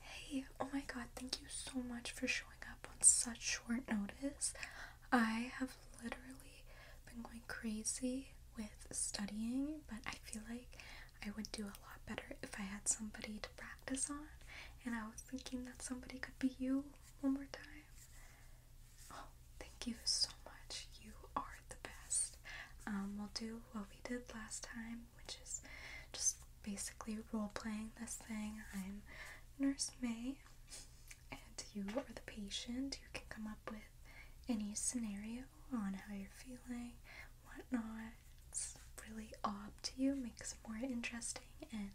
Hey, oh my god, thank you so much for showing up on such short notice. I have literally been going crazy with studying, but I feel like I would do a lot better if I had somebody to practice on, and I was thinking that somebody could be you one more time. Oh, thank you so much. You are the best. Um, we'll do what we did last time which is just basically role playing this thing. I'm Nurse May, and you are the patient. You can come up with any scenario on how you're feeling, whatnot. It's really all up to you, makes more interesting and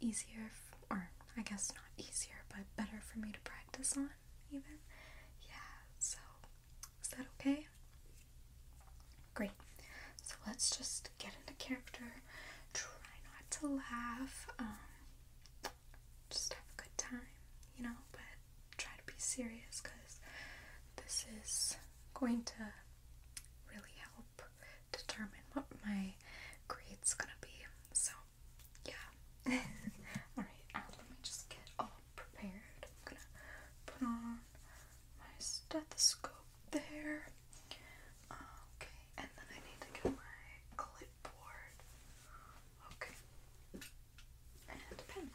easier, or I guess not easier, but better for me to practice on, even. Yeah, so is that okay? Great. So let's just get into character. Try not to laugh. Um, just have a good time, you know, but try to be serious because this is going to really help determine what my grade's gonna be. So, yeah. Alright, um, let me just get all prepared. I'm gonna put on my stethoscope there. Okay, and then I need to get my clipboard. Okay, and pen.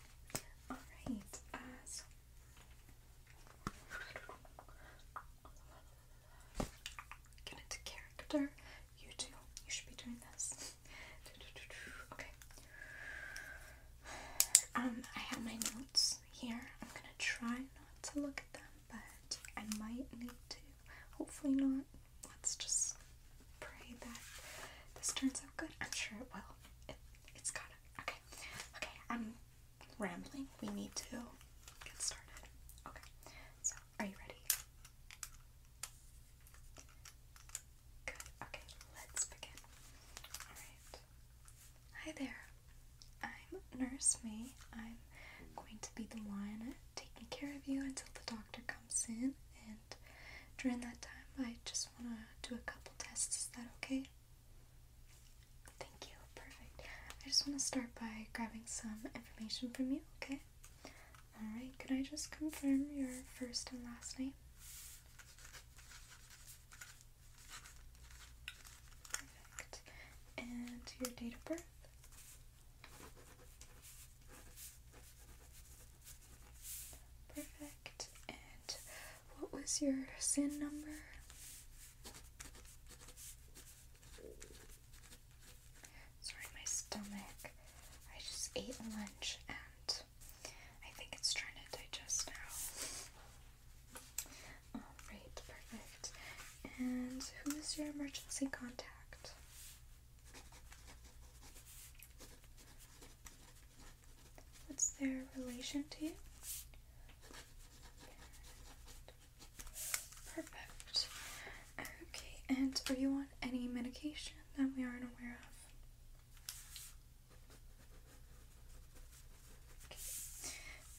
Alright, so. Get into character. You too. You should be doing this. Okay, um, I have my notes here. I'm gonna try not to look at them, but I might need to. Hopefully not. Let's just pray that this turns out good. I'm sure it will. It, it's gotta. Okay. Okay, I'm rambling. We need to get started. Okay. So, are you ready? Good. Okay, let's begin. Alright. Hi there. I'm Nurse May. I'm going to be the one taking care of you until the doctor comes in. And during that time, I just want to do a couple tests. Is that okay? Thank you. Perfect. I just want to start by grabbing some information from you, okay? Alright, Can I just confirm your first and last name? Perfect. And your date of birth? Perfect. And what was your sin number? Sorry, my stomach. I just ate lunch and I think it's trying to digest now. Alright, perfect. And who is your emergency contact? What's their relation to you? Perfect. Okay, and are you on any medication that we aren't aware of?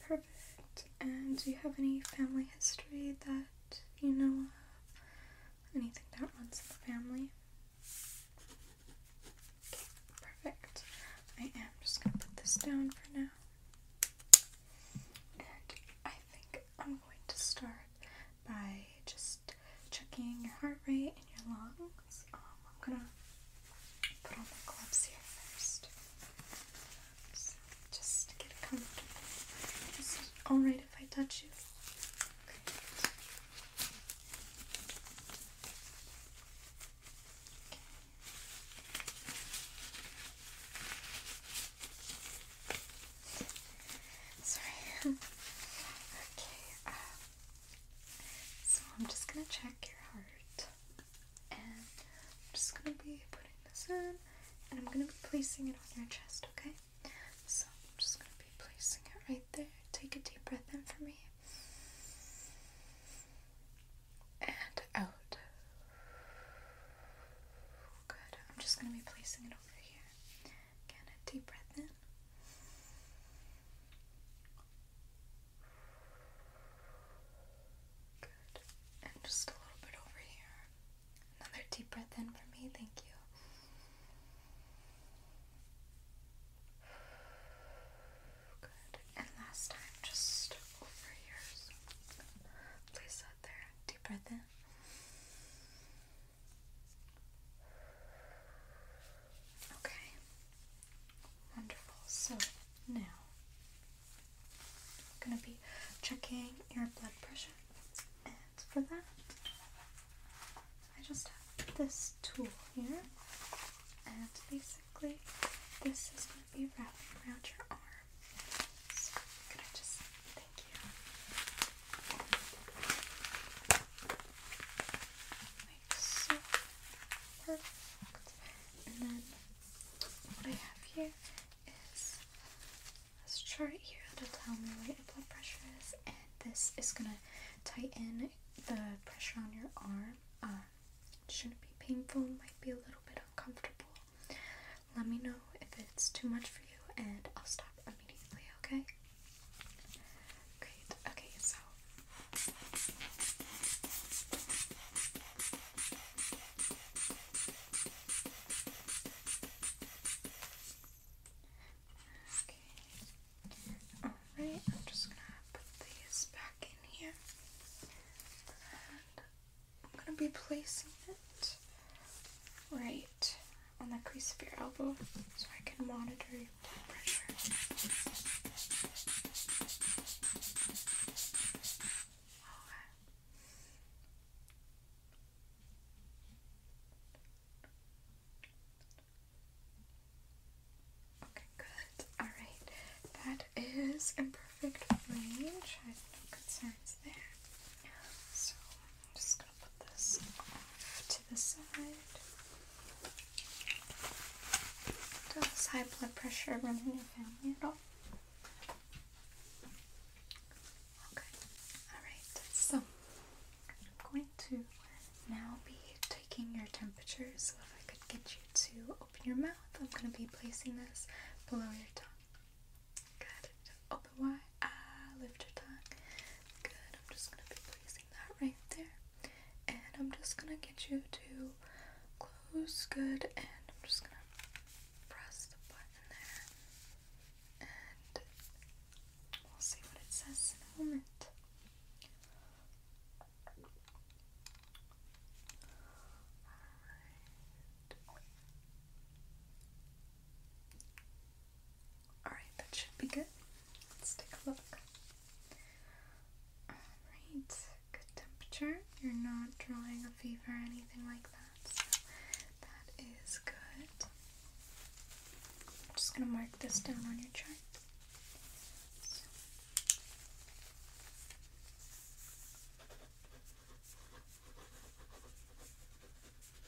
Perfect. And do you have any family history that you know of? Anything that runs in the family? perfect. I am just gonna put this down for now. And I think I'm going to start by just checking your heart rate and your lungs. Um, I'm gonna put on my gloves here first. just get comfortable. Is it alright if I touch you? Okay. Sorry. okay, um, so I'm just gonna check your heart, and I'm just gonna be putting this in, and I'm gonna be placing it on your chest, okay? So I'm just gonna be placing it right there. Take a deep breath in for me, and out. Good. I'm just gonna be placing it over here. Again, a deep breath in. Good. And just a little bit over here. Another deep breath in for me, thank you. Good. And last time, just over here. So place there. Deep breath in. Okay. Wonderful. So now I'm going to be checking your blood pressure. And for that, I just have this tool here. And basically, this is going to be wrapped around your arm. So i just, thank you. Like so. Perfect. And then what I have here is this chart here that'll tell me where your blood pressure is, and this is gonna tighten the pressure on your arm. Um, shouldn't be painful, might be a little bit uncomfortable. Let me know if it's too much for you, and I'll stop immediately, okay? Great. Okay, so Okay. Alright, I'm just gonna put these back in here. And I'm gonna be placing it right on the crease of your elbow so I can monitor your blood pressure. Okay. good. Alright. That is in perfect range. no concerns there. So I'm just going to put this to the side. Does high blood pressure run in your family at all? Okay, alright, so I'm going to now be taking your temperature. So, if I could get you to open your mouth, I'm going to be placing this below your tongue. Good, open ah, lift your tongue. Good, I'm just gonna be placing that right there. And I'm just gonna get you to close, good, and I'm just gonna press the button there. And we'll see what it says in a moment. Alright. Alright, that should be good. Let's take a look. Alright, good temperature. You're not drawing a fever or anything like that, that is good. I'm just gonna mark this down on your chart. Perfect.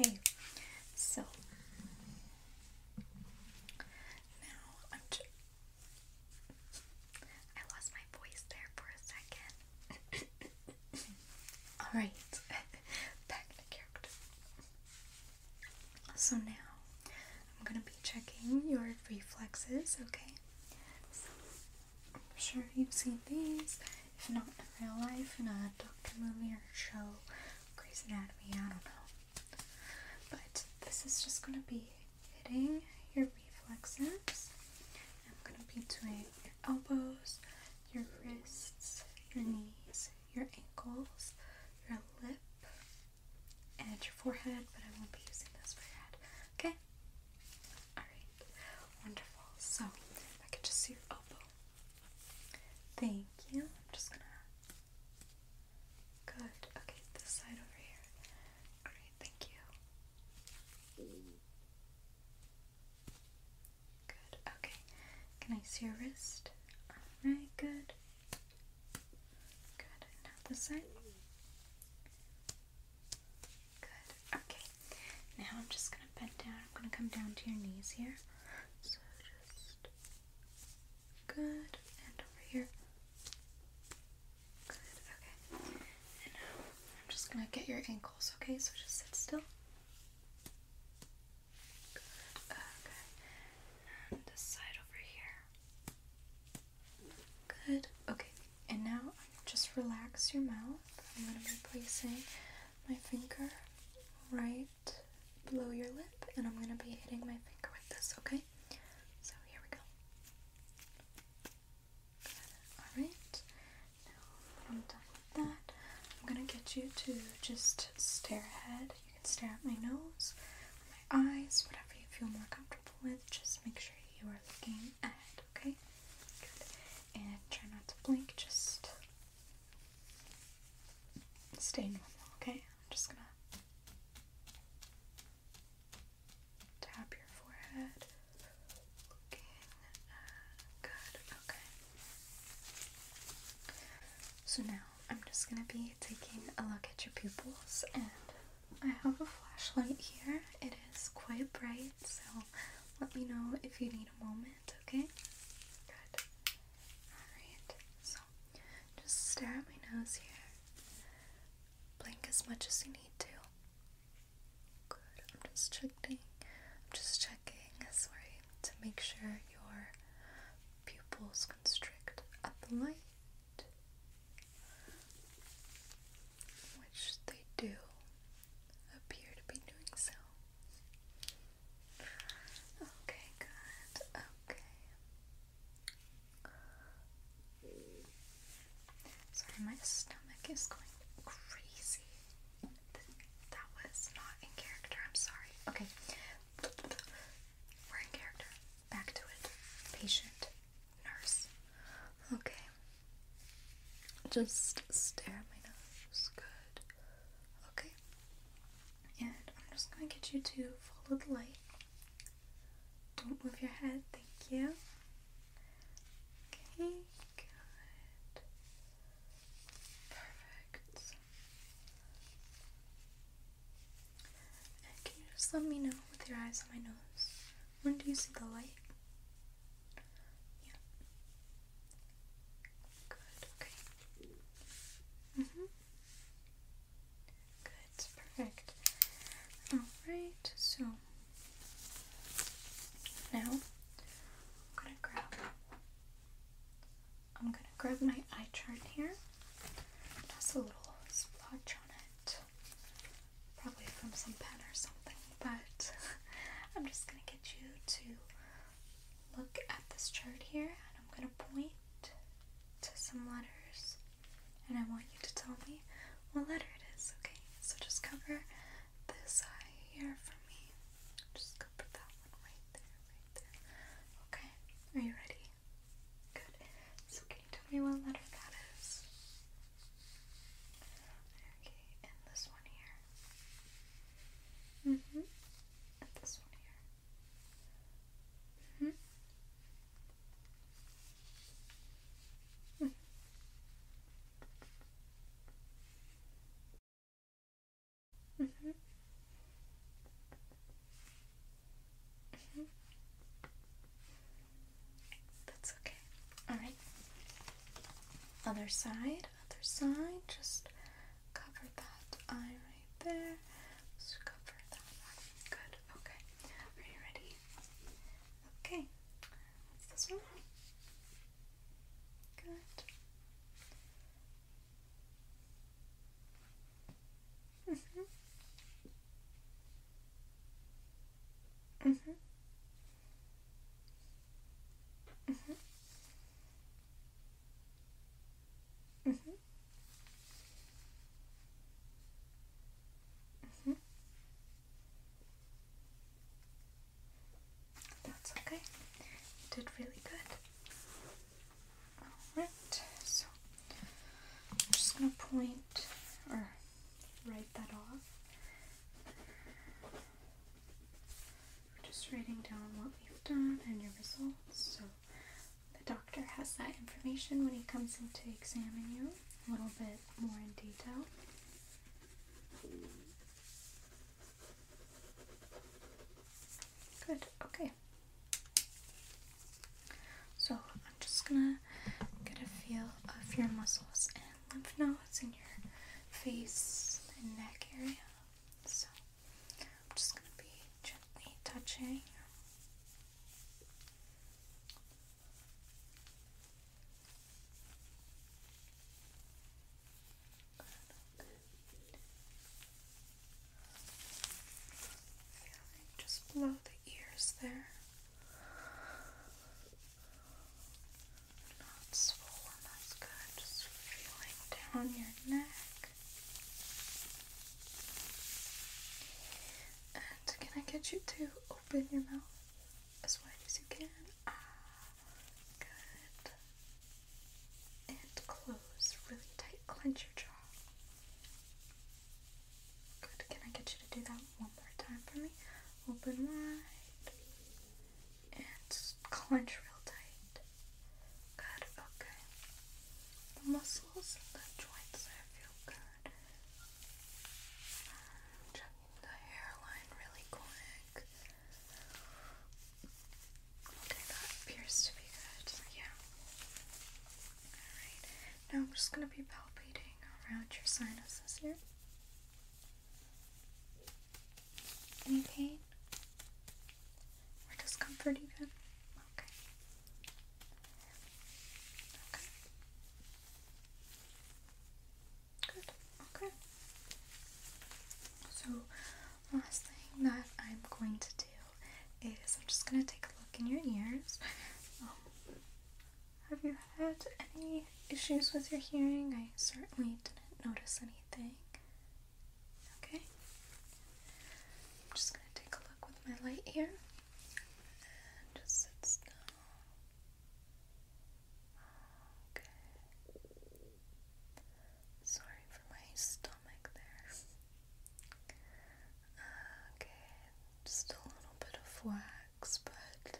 Okay, so now i lost my voice there for a second. Alright, back to character. So now I'm gonna be checking your reflexes, okay? I'm sure you've seen these. If not in real life, in a doctor movie or show, Grey's Anatomy, I don't know. But this is just gonna be hitting your reflexes. I'm gonna be doing your elbows, your wrists, your knees, your ankles, your lip, and your forehead, but I won't be using this for your Okay? Alright. Wonderful. So, I could just see your elbow. Thank you. I'm just gonna. Good. Okay, this side over here. Great, thank you. Good, okay. Can I see your wrist? Alright, good. Good, now this side. Good, okay. Now I'm just gonna bend down. I'm gonna come down to your knees here. So just. Good, and over here. Good, okay. And now I'm just gonna get your ankle okay? So just sit still. Good. Okay. And this side over here. Good. Okay. And now just relax your mouth. I'm going to be placing my finger right below your lip, and I'm going to be hitting my finger with this, okay? So here we go. Alright, now I'm done with that. I'm gonna get you to just stare ahead. You can stare at my nose, my eyes, whatever you feel more comfortable with. Just make sure you are looking ahead, okay? Good. And try not to blink, just stay normal, okay? I'm just gonna tap your forehead. Looking uh, good. Okay. So now I'm just gonna be taking a look at your pupils, and I have a flashlight here. It is quite bright, so let me know if you need a moment. Okay. Good. All right. So just stare at my nose here. Blink as much as you need to. Good. I'm just checking. I'm just checking. Sorry, to make sure your pupils constrict at the light, which they do appear to be doing so. Okay, good. Okay. Sorry, my stomach is going crazy. That was not in character, I'm sorry. Okay, we're in character. Back to it. Patient, nurse. Okay. Just stare at my nose. Good. Okay. And I'm just going to get you to follow the light. Don't move your head. Thank you. Okay. Good. Perfect. And can you just let me know with your eyes on my nose? When do you see the light? Yeah. Good, okay. Mm-hmm. Good, perfect. Alright, so now I'm gonna grab I'm gonna grab my eye chart here. It a little splotch on it. Probably from some pen or something, but I'm just gonna get you to look at this chart here and I'm gonna point to some letters and I want you to tell me what letter it is, okay? So just cover this eye here for me. Just go put that one right there, right there. Okay, are you ready? Good. So can you tell me what letter that is? Okay, and this one here. Mm-hmm. And this one here. hmm Mm. Mm -hmm. Mm -hmm. That's okay. All right. Other side, other side. Just cover that eye right there. cover that Good. Okay. Are you ready? Okay, what's this one? Good. Mm-hmm. Mm-hmm. Mm-hmm. Mm-hmm. Mm-hmm. That's okay. You did really good. Alright, so I'm just gonna point or write that off. We're just writing down what we've done and your results. So the doctor has that information when he comes in to examine you a little bit more in detail. Good, okay. So I'm just gonna get a feel of your muscles and lymph nodes in your face and neck area. So I'm just gonna be gently touching just below the ears there. Not swollen, that's good. Just feeling down your neck. And can I get you to open your mouth? as wide as you can. Ah, good. And close, really tight. Clench your jaw. Good. Can I get you to do that one more time for me? Open wide and clench real tight. Good. Okay. The muscles and the joints feel good. Checking the hairline really quick. Okay, that appears to be good. Yeah. Alright. Now I'm just gonna be palpating around your sinuses here. Any pain? Or discomfort even? Okay. Okay. Good. Okay. So, last thing that I'm going to do is I'm just going to take a look in your ears. Um, have you had any issues with your hearing? I certainly didn't notice anything. Okay. I'm just going to take a look with my light here. And just sit still. Okay. Sorry for my stomach there. Okay, just a little bit of wax, but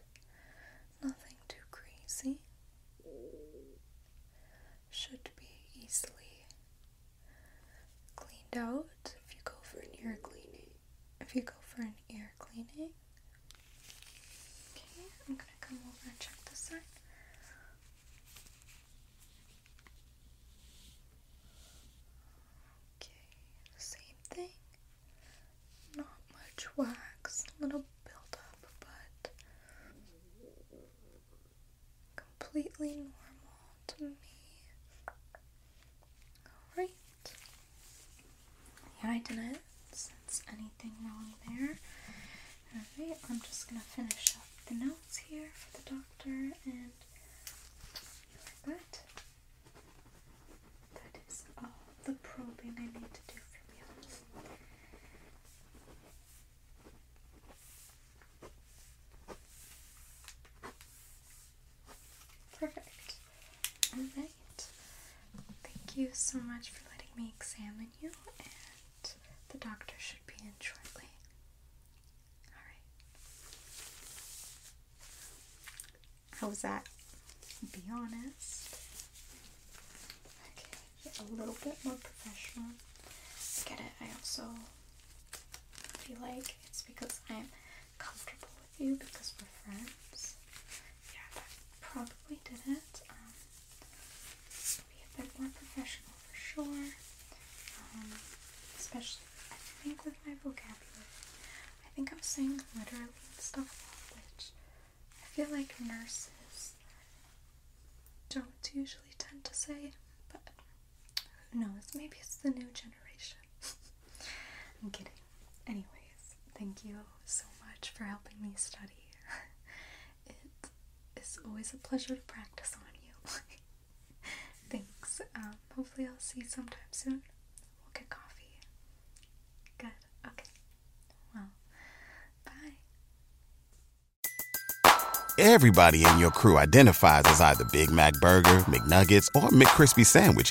nothing too crazy. Should be easily cleaned out if you go for a ear cleaning if you go for an ear cleaning. Okay, I'm gonna come over and check this side. Okay, same thing. Not much wax, a little buildup, but completely normal to me. Alright, yeah, I didn't sense anything wrong there. Alright, I'm just gonna finish up the notes here for the doctor and you're good. That is all the probing I need to do from you. Perfect. Alright. Thank you so much for letting me examine you, and the doctor should be in shortly. Alright. How was that? Be honest. Okay, a little bit more professional. get it. I also feel like it's because I'm comfortable with you because we're friends. Yeah, that probably did not um, be a bit more professional for sure. Um, especially, I think with my vocabulary. I think I'm saying literally and stuff a lot, which I feel like nurses don't usually tend to say, but who knows? Maybe it's the new generation. I'm kidding. Anyways, thank you so much for helping me study. it is always a pleasure to practice on you. Thanks. Um, hopefully, I'll see you sometime soon. We'll get coffee. Good. Okay. Well, bye. Everybody in your crew identifies as either Big Mac Burger, McNuggets, or McKrispy Sandwich